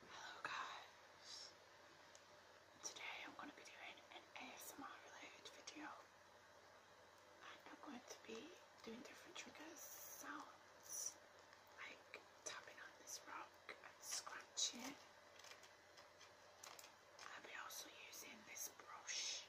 Hello guys, today I'm going to be doing an ASMR related video. I'm going to be doing different triggers, sounds, like tapping on this rock and scratching. I'll be also using this brush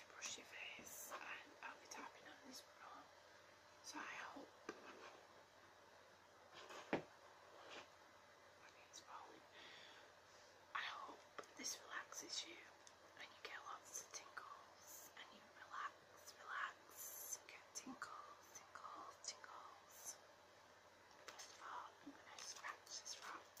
to brush your face and I'll be tapping on this rock. So I hope I hope this relaxes you and you get lots of tingles and you relax, relax, get tingles, tingles, tingles. First I'm going to scratch this rock.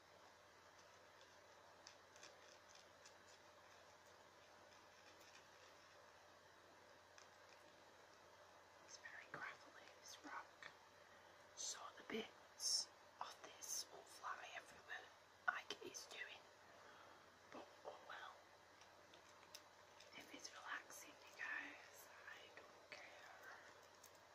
It's very gravelly, this rock. So the bits of this will fly everywhere like it's doing. But oh well. If it's relaxing you guys, I don't care.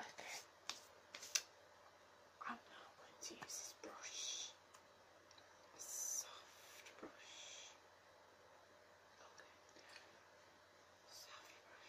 Okay. I'm now going to use brush. A soft brush. Okay. Soft brush.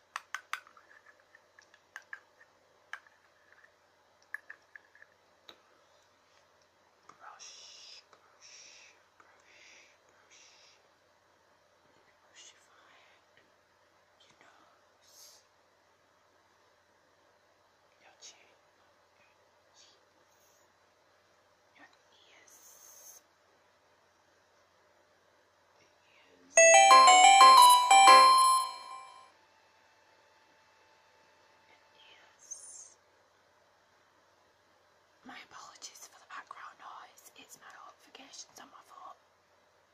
Brush, brush, brush, brush. Brushifying your nose, your chin, your cheeks, your ears. Your yes. My apologies for the background noise. It's my notifications on my phone,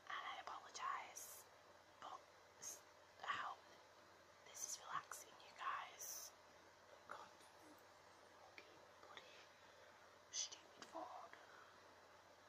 and I apologise. But I this is relaxing, you guys.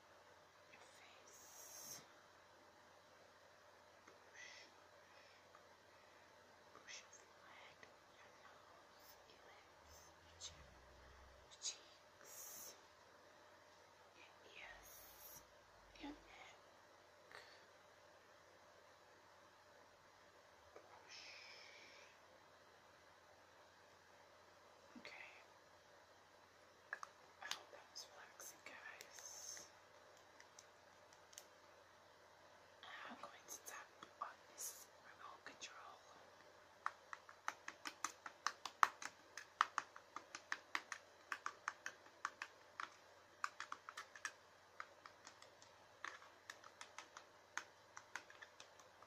your face. Push, push your forehead, your nose, your lips, your chin, your cheeks, your ears, your neck. Push, Okay. I hope that was relaxing, guys. I'm going to tap on this remote control.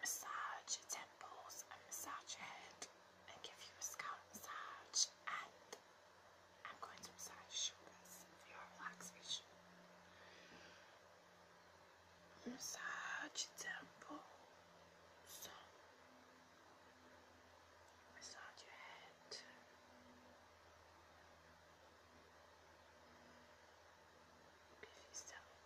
massage your temples and massage your head and give you a scalp massage and I'm going to massage your shoulders for your relaxation. Massage your temples. Massage your head give yourself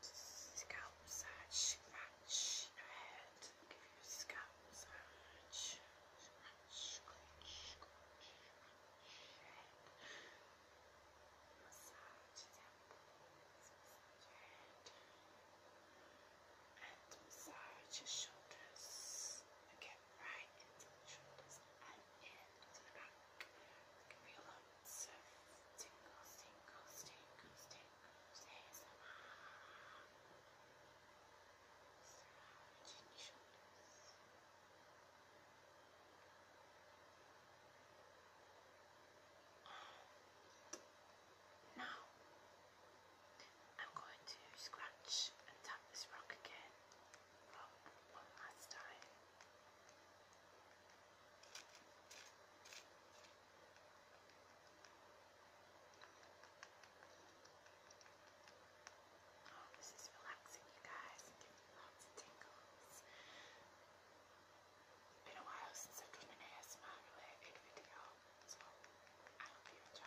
scalp massage, match your head, give your scalp massage, scratch, scratch, scratch, your head, massage your temples, massage your head, and massage your shoulders, and get right into the shoulders and into the back, it can be a lot Tingles, tingles, tingles, tingles, ASMR. Chin your now, I'm going to scratch and tap this rock again. one last time. Oh, this is relaxing, you guys. I'm getting lots of tingles. It's been a while since I've done an ASMR related video, so I hope you enjoy.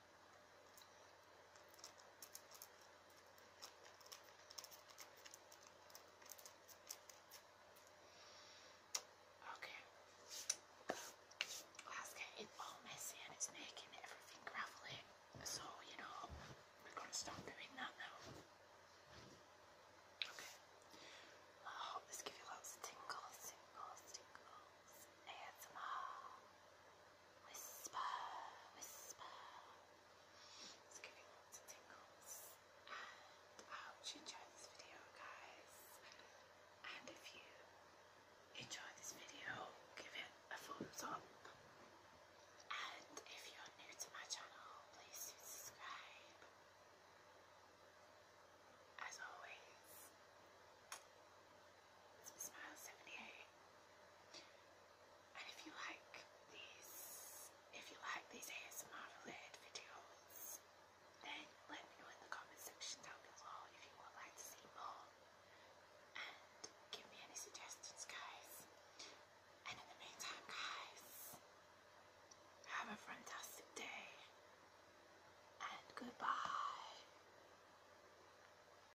Okay. Alaska, it's all messy and it's making everything gravelly. So, you know, we're going to stop doing that now. Okay. I oh, hope this gives you lots of tingles, tingles, tingles. ASMR. Whisper, whisper. It's giving lots of tingles. I hope oh, you enjoy this video, guys. And if you enjoy this video, give it a thumbs up. And if you're new to my channel, please subscribe. As always, Smile 78. And if you like these, if you like these ASMR related videos, then let me know in the comment section down below if you would like to see more. And give me any suggestions, guys. And in the meantime, guys, have a fantastic day. And goodbye.